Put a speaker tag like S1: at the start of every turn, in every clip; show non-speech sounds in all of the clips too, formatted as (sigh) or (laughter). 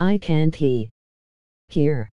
S1: I can't hear.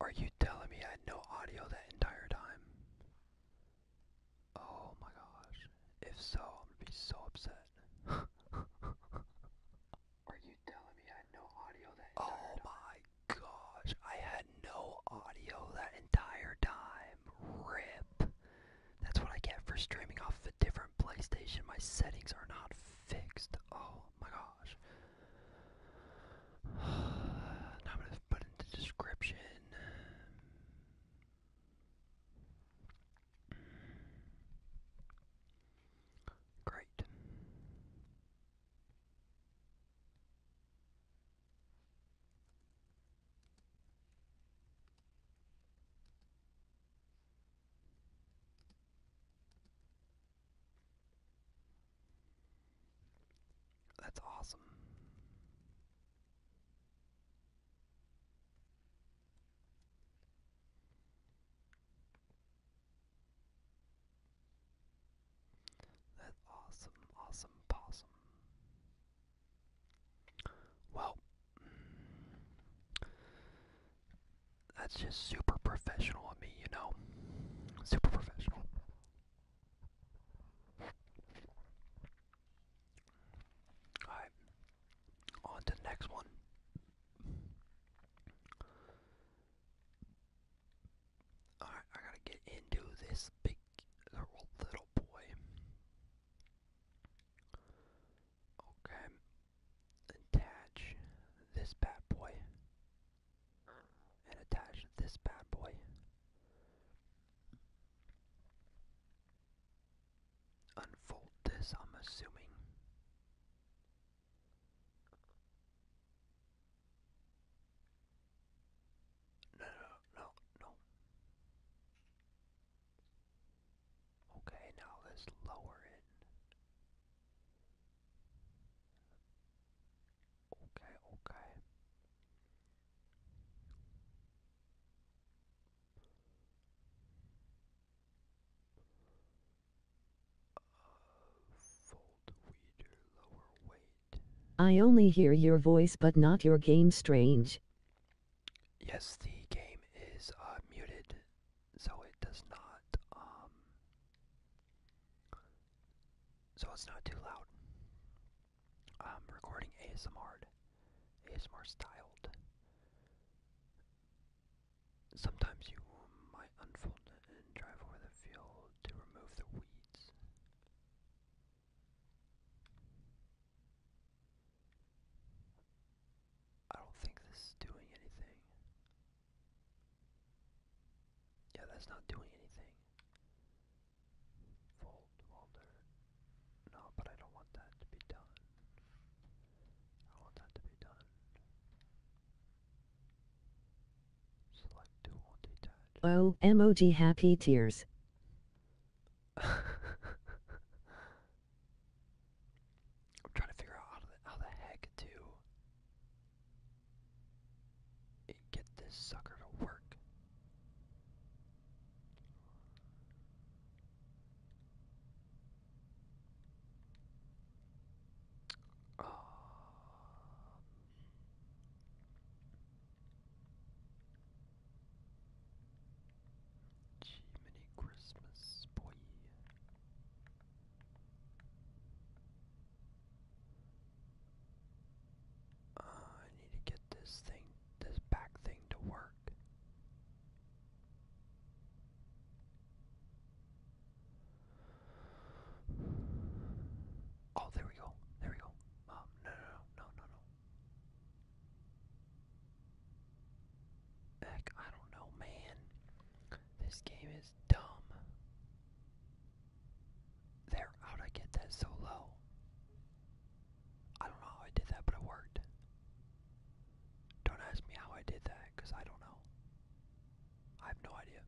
S2: Are you telling me I had no audio that entire time? Oh my gosh. If so, I'm gonna be so upset. (laughs) Are you telling me I had no audio that entire oh time? Oh my gosh, I had no audio that entire time. RIP. That's what I get for streaming off a different PlayStation. My settings are not fixed. Oh my gosh. (sighs) I'm gonna put in the description. Great. That's awesome. That's awesome, awesome possum. Well, that's just super professional of me, you know? Super professional. Alright. On to next one. Alright, I gotta get into this big little boy. Okay, attach this bad boy and attach this bad boy. Unfold this, I'm assuming. No, no, no, no. Okay, now let's lower it. Okay, okay.
S1: fold weeder lower weight. I only hear your voice but not your game strange.
S2: Yes, the game is uh, muted so it does not, um, so it's not too loud. I'm recording ASMR, ASMR styled. Sometimes you might unfold and drive over the field to remove the weeds. I don't think this is doing anything. Yeah, that's not doing anything. Fold welder. No, but I don't want that to be done.
S1: I want that to be done. Select dual detach. Oh, emoji happy tears. (laughs) I'm
S2: trying to figure out how, to, how the heck do get this sucker to work. Um, Gee, Christmas boy. Uh, I need to get this thing, this back thing to work. Oh, there we go. There we go. Um, no, no, no, no, no, no. Heck, I don't know, man. This game is dumb. There, how'd I get that so low? I don't know I did that, but it worked. Don't ask me how I did that, because I don't know. I have no idea.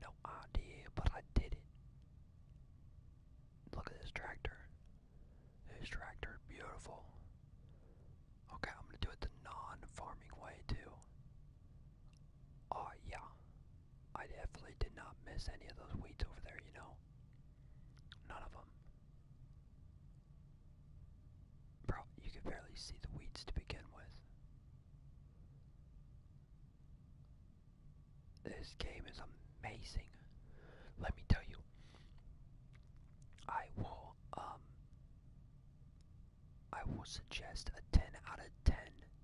S2: No idea, but I did it. Look at this tractor. This tractor, beautiful. Okay, I'm gonna do it the non-farming way too. Oh yeah, I definitely did not miss any of those weeds over there, you know? None of them. Bro, you can barely see the weeds to begin with. This game is amazing. Let me tell you, I will um, I will suggest a 10 out of 10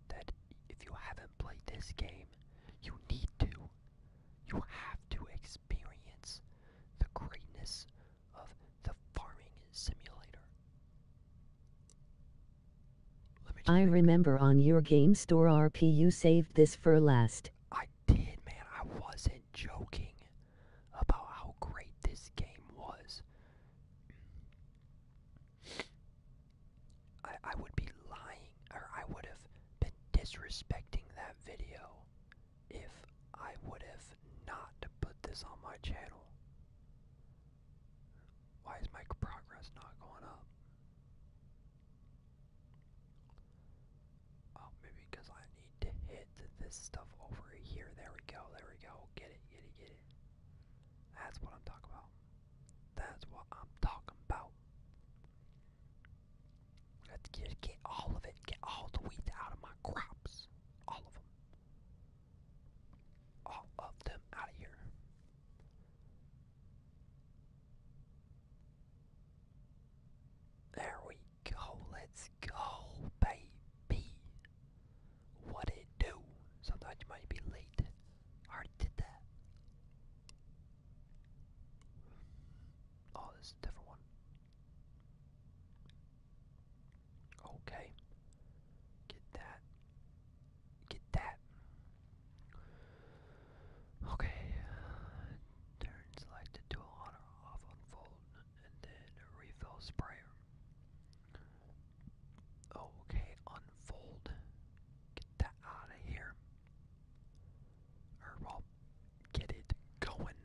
S2: that if you haven't played this game, you need to. You have to experience
S1: the greatness of the farming simulator. I remember on your game store RP you saved this for last. I did, man. I wasn't joking about how great this game was.
S2: I, would be lying, or I would have been disrespecting that video if I would have not put this on my channel. Why is my progress not going up? Oh, maybe because I need to hit this stuff over here. There we go, there we go. Get it, get it, get it. That's what I'm talking about. That's what I'm talking about. Let's get, get all of it. Get all the weeds out of my crops. All of them. All of them out of here. There we go, let's go, baby. What it do? Sometimes you might be late. I did that. Oh, this is a different one. Okay. Get that. Get that. Okay. Turn selected tool on or off on full and then refill sprayer. Okay, unfold. Get that out of here. Or, well, get it going.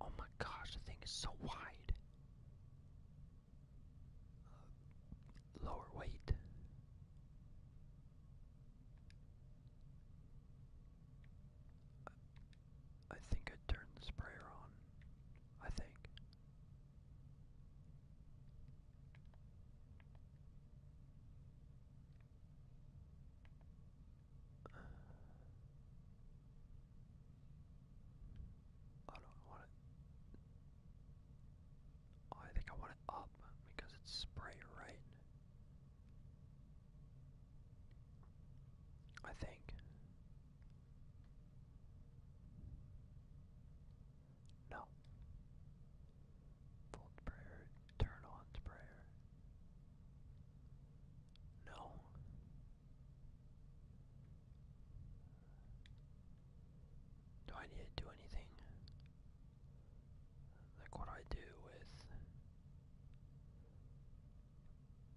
S2: Oh my gosh, the thing is so wide. Uh, lower weight. I think I turned the sprayer on. I think. I don't want it. I think I want it up because it's spray, right? I think. No. turn on sprayer. No. Do I need to do anything? Like what I do with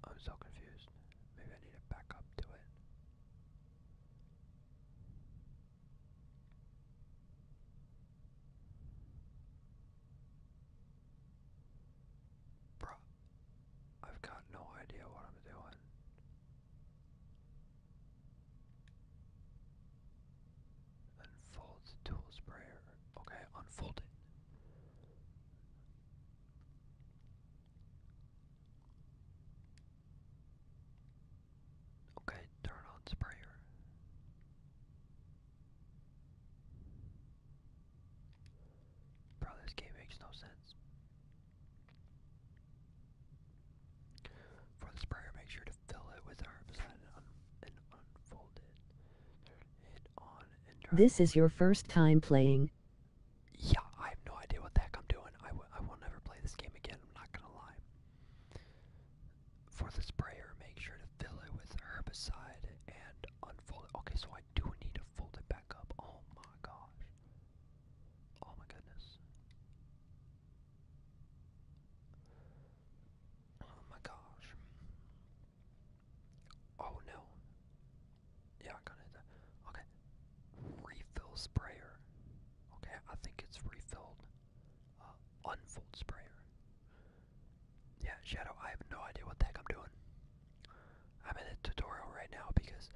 S2: I'm so confused. Maybe I need to back up to it. Bruh, I've got no idea what I'm doing. Unfold the tool sprayer. Okay, unfold it. Okay, turn on sprayer. Bro, this game makes no sense. For the sprayer, make sure to fill it with herbicide and unfold
S1: it. This is your first time playing. Yeah, I have no idea what the heck I'm doing. I, w I will never play this game
S2: again, I'm not gonna lie. For the sprayer, make sure to fill it with herbicide and unfold it. Okay, so I do need to fold it back up. Oh my gosh. Oh my goodness. Oh my gosh. Oh no. Yeah, I got it. Okay. Refill sprayer. Okay, I think it's refilled. Uh, unfold sprayer. Yeah, Shadow, I have no idea what the heck I'm doing. I'm in a tutorial right now because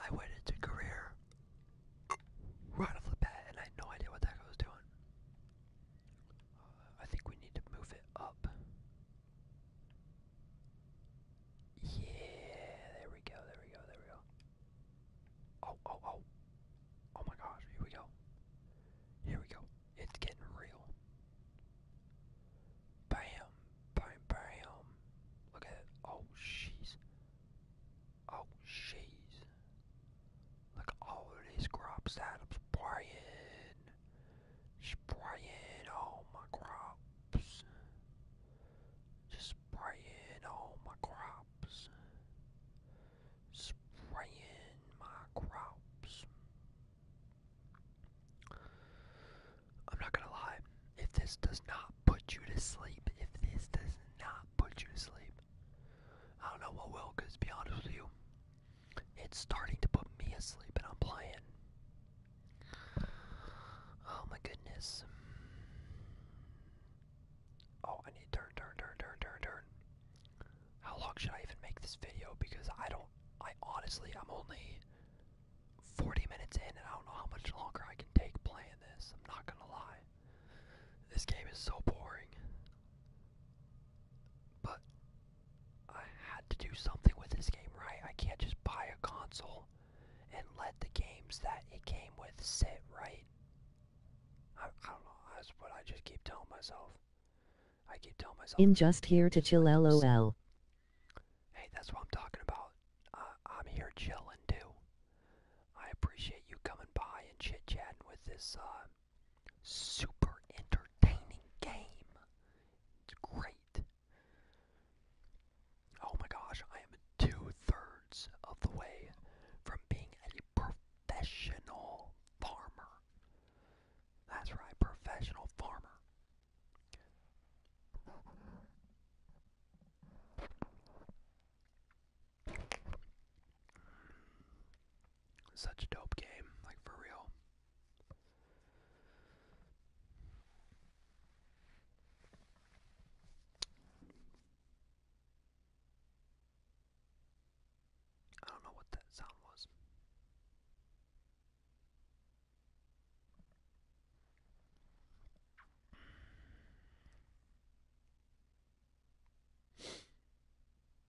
S2: I went into career right off the bat and I had no idea what the heck I was doing. I think we need to move it up. Yeah, there we go, there we go, there we go. Oh, oh, oh. Oh my gosh, here we go. Here we go. It's getting real. Bam, bam, bam. Look at it. Oh, jeez. Oh, jeez. Look at all these crops that I'm spraying spraying all my crops. Just spraying all my crops. Spraying my crops. I'm not gonna lie, if this does not put you to sleep, if this does not put you to sleep, I don't know what will, because be honest with you, it's starting to put me asleep and I'm playing. Oh my goodness. Oh, I need turn, turn, turn, turn, turn, turn. How long should I even make this video? Because I don't, I honestly, I'm only 40 minutes in and I don't know how much longer I can take playing this. I'm not gonna lie. This game is so boring. But I had to do something with this game, right? I can't just buy a console and let the games that it came with sit, right? I, don't know. That's
S1: what I just keep telling myself. I keep telling myself. In just here to chill, lol.
S2: Hey, that's what I'm talking about. Uh, I'm here chilling too. I appreciate you coming by and chit chatting with this uh, super entertaining game. It's great. Oh my gosh, I am two thirds of the way from being a professional farmer. That's right, professional farmer. Such a dope game, like for real. I don't know what that sound was.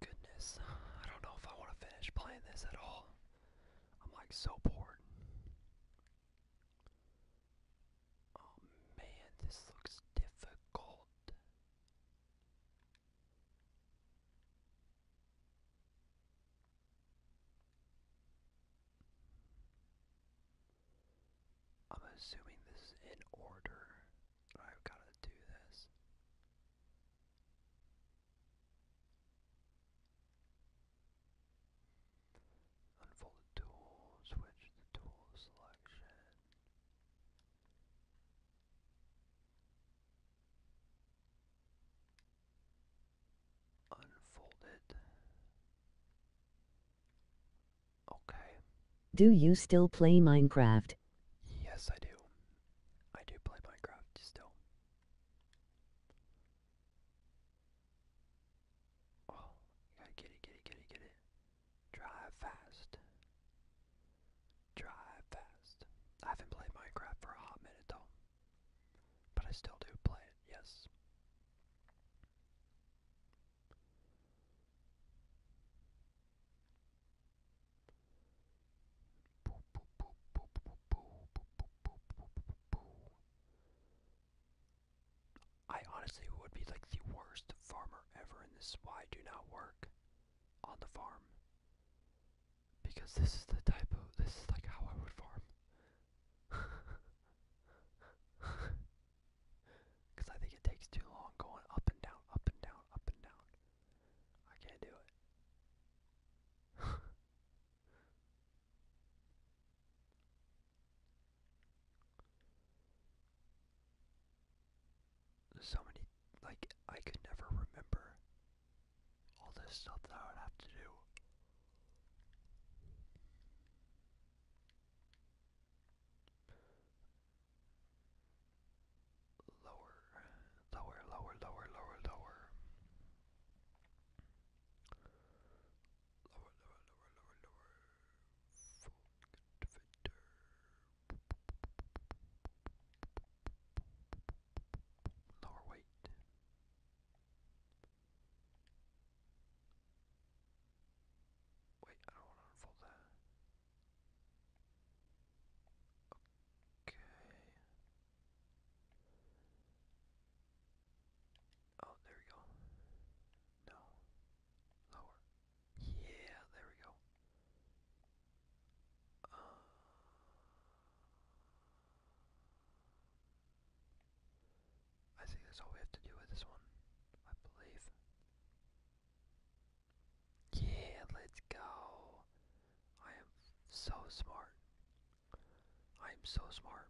S2: goodness, I don't know if I want to finish playing this at all. I'm like so bored. Oh man, this looks difficult. I'm assuming this is in order. I've got to do this. Unfold the tool, switch the tool selection. Unfolded.
S1: Okay. Do you still play Minecraft?
S2: Yes, I do. I do play Minecraft still. Oh, gotta get it, get it, get it, get it. Drive fast. Drive fast. I haven't played Minecraft for a hot minute though. But I still do play it, yes. I honestly would be like the worst farmer ever, and this why do not work on the farm because this is the type of this is like how I would farm. (laughs) Cause I think it takes too long going up and down, up and down, up and down. I can't do it. (laughs) so many like I could never remember all this stuff that I would have to do. Lower, lower, lower, lower, lower, lower. Lower, lower, lower, lower, lower. Full lower weight. Wait, I don't want to unfold that. Okay. Oh, there we go. No. Lower. Yeah, there we go. Uh, I think that's all we have to do with this one, I believe. Yeah, let's go. I am so smart. I am so smart.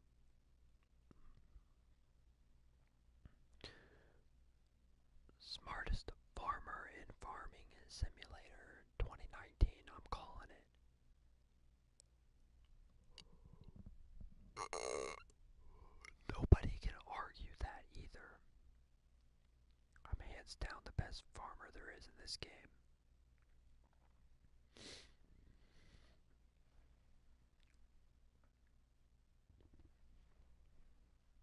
S2: Smartest farmer in farming simulator 2019, I'm calling it. Nobody can argue that either. I'm hands down the best farmer there is in this game.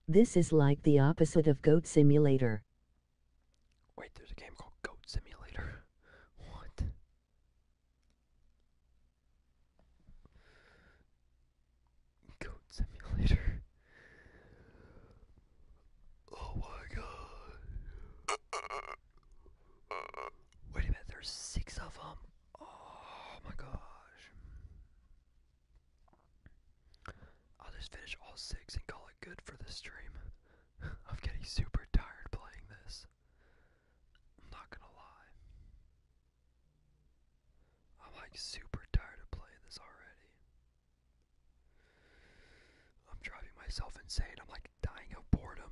S1: This is like the opposite of Goat Simulator.
S2: Wait, there's a game called Goat
S1: Simulator. (laughs) what?
S2: Goat Simulator. Oh my god. Wait a minute, there's six of them. Oh my gosh. I'll just finish all six and call it good for this stream. (laughs) I'm getting super tired playing this. I'm not gonna lie. I'm like super tired of playing this already. I'm driving myself insane. I'm like dying of boredom.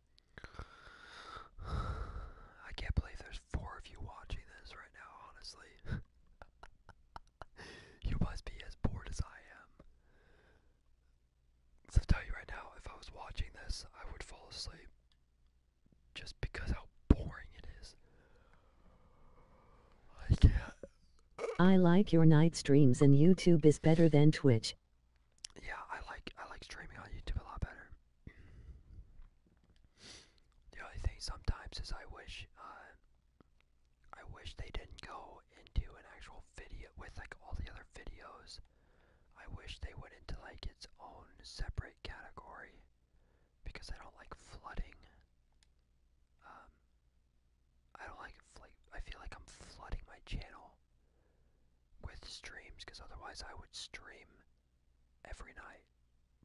S2: I can't believe there's four of you watching this right now, honestly. (laughs) you must be as bored as I am. So, tell you right now, if I was watching this, I would fall asleep. Just because how boring it is.
S1: I can't. I like your night streams, and YouTube is better than Twitch
S2: yeah, I like I like streaming on YouTube a lot better. the only thing sometimes is I wish uh, I wish they didn't go into an actual video with like all the other videos. I wish they went into like its own separate category because I don't like flooding. Um, I don't like like I feel like I'm flooding my channel with streams because otherwise I would stream every night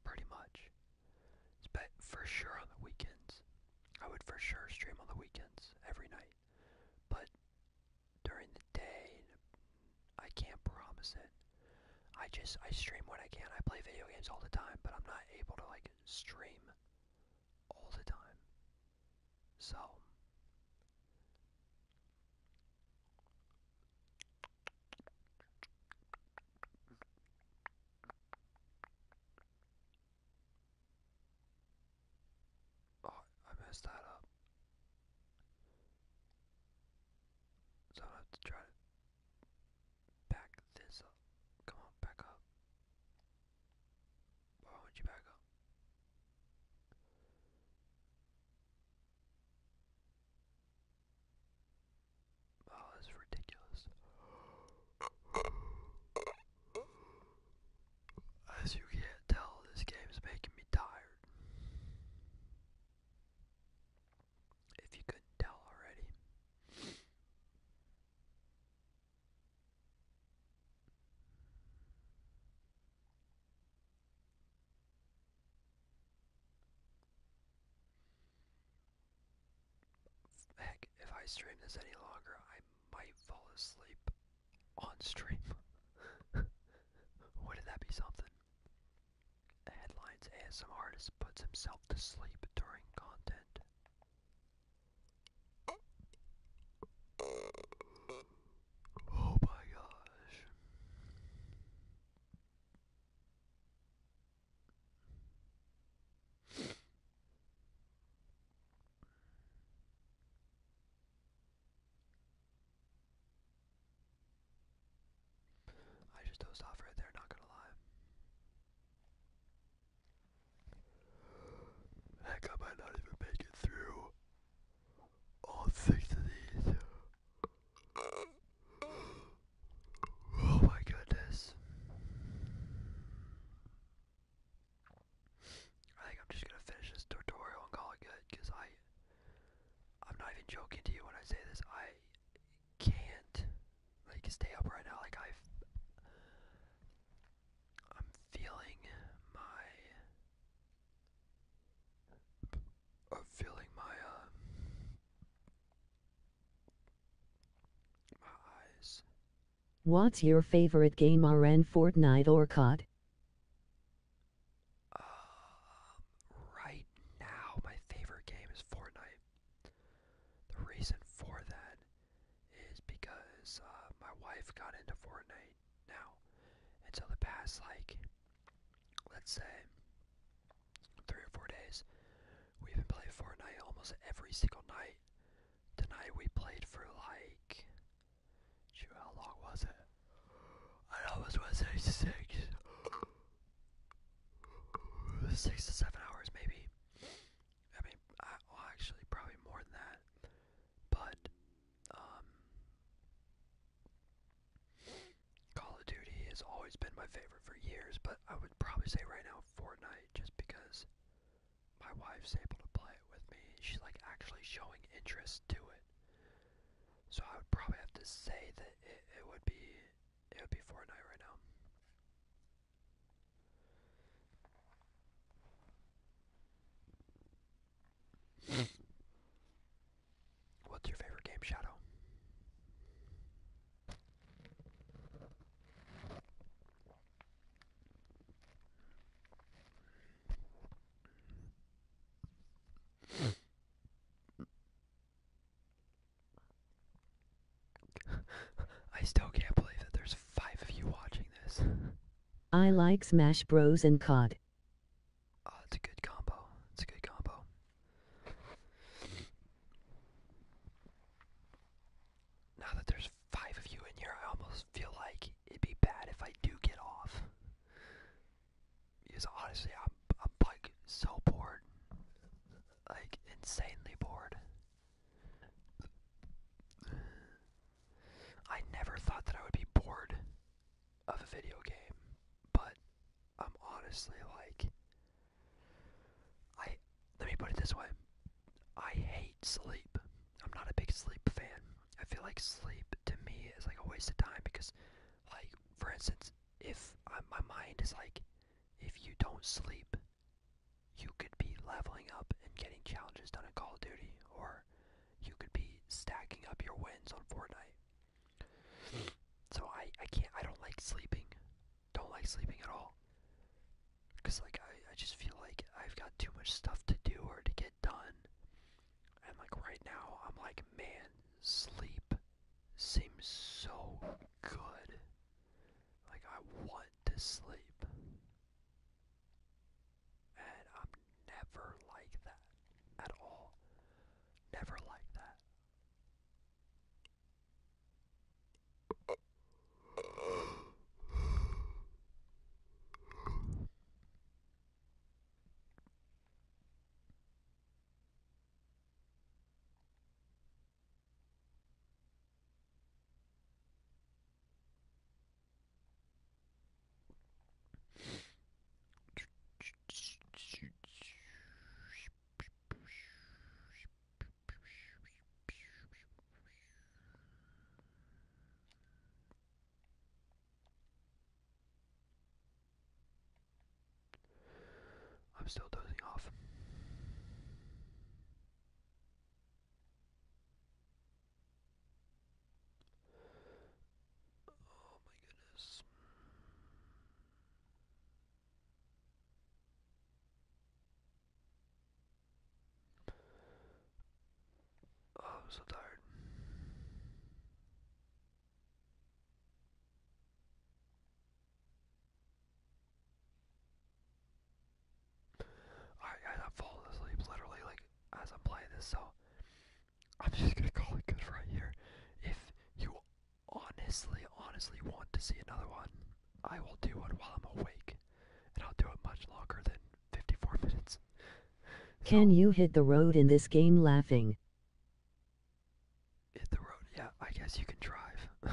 S2: pretty much. But for sure on the weekends. I would for sure stream on the weekends every night. But during the day, I can't promise it. I just I stream when I can. I play video games all the time, but I'm not able to like stream all the time. So Oh, I messed that up. So I have to try to back this up. Come on, back up. Why won't you back up? Oh, that's ridiculous. As you can't tell, this game is making me tired. If you could tell already. Heck, if I stream this any longer, I might fall asleep on stream. (laughs) Wouldn't that be something? Headlines ASM artist puts himself to sleep during content. Oh my gosh. I just dozed off right there, not gonna lie. Heck, I might not even make it through all six of these. Oh my goodness. I think I'm just gonna finish this tutorial and call it good because I I'm not even joking to you when I say this. I can't like stay up right now. Like i I'm feeling my um,
S1: What's your favorite game RN Fortnite or COD? Um,
S2: right now my favorite game is Fortnite. The reason for that is because uh, my wife got into Fortnite right now. And so the past like let's say three or four days, we've been playing Fortnite almost every single night. Tonight we played for like shoot how long was it? I almost was say six six to seven hours maybe. I mean I well actually probably more than that. But um Call of Duty has always been my favorite for years, but I would probably say right now Fortnite just because my wife's able to play it with me. She's like actually showing interest to it. So I would probably have to say that it, it would be it would be Fortnite right now.
S1: Mm. What's your favorite game, Shadow? (laughs) I
S2: still can't believe that there's five of you watching this.
S1: I like Smash Bros. and COD. Oh, it's a good combo. It's a good combo.
S2: Now that there's five of you in here, I almost feel like it'd be bad if I do get off. Because honestly, I'm, I'm like so bored. Like, insanely bored. I never thought that I would be bored of a video game, but I'm honestly like I let me put it this way. I hate sleep. I'm not a big sleep fan. I feel like sleep to me is like a waste of time because like for instance, if my mind is like if you don't sleep, you could be leveling up and getting challenges done in Call of Duty or you could be stacking up your wins on Fortnite. So I, I can't, I don't like sleeping. Don't like sleeping at all. Because, like, I, I just feel like I've got too much stuff to do or to get done. And, like, right now, I'm like, man, sleep seems so good. Like, I want to sleep. And I'm never like that at all. Never like that. I'm still dozing off. Oh my goodness. Oh, so tired. Alright I'm falling asleep literally like as I'm playing this, so I'm just gonna call it good right here. If you honestly, honestly want to see another one, I will do one while I'm awake, and I'll do
S1: it much longer than 54 (laughs) minutes. Can you hit the road in this game laughing? Hit the road, yeah, I guess you can drive. (laughs) so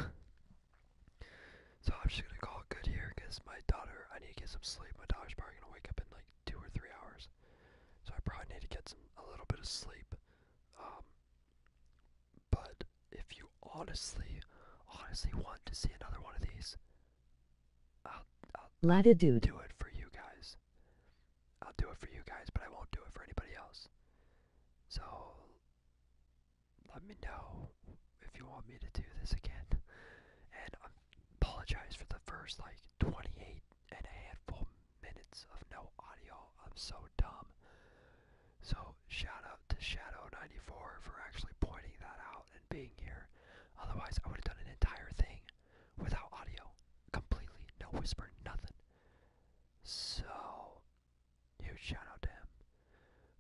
S1: I'm just gonna call it good here because my daughter,
S2: I need to get some sleep. My daughter's probably gonna wake up in like two or three hours. So I probably need to get some a little bit of sleep. Um, but if you honestly, honestly want to see another one of these,
S1: I'll, I'll Latitude. do it for you guys. I'll do it for you
S2: guys, but I won't do it for anybody else. So let me know if you want me to do this again. And I apologize for the first like 28 and a handful minutes of no audio. I'm so dumb. So shout out to Shadow94 for actually pointing that out and being here. Otherwise, I would have done an entire thing without audio, completely, no whisper, nothing. So huge shout out to him.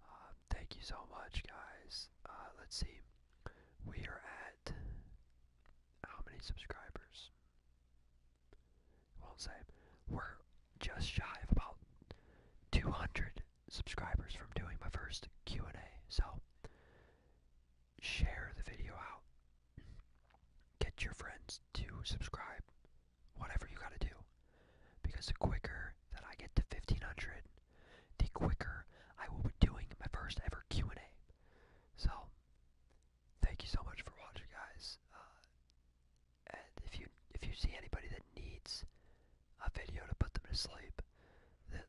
S2: Uh, thank you so much, guys. Uh, let's see, we are at how many subscribers? I won't say. We're just shy of about 200 subscribers from doing my first Q&A. So share the video out. Get your friends to subscribe. Whatever you got to do. Because the quicker that I get to 1500, the quicker I will be doing my first ever Q&A. So, thank you so much for watching, guys. Uh, and if you if you see anybody that needs a video to put them to sleep,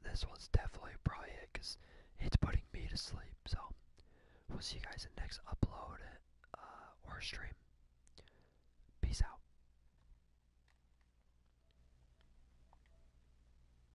S2: this one's definitely probably it because it's putting me to sleep. So, we'll see you guys in the next upload uh, or stream. Peace out.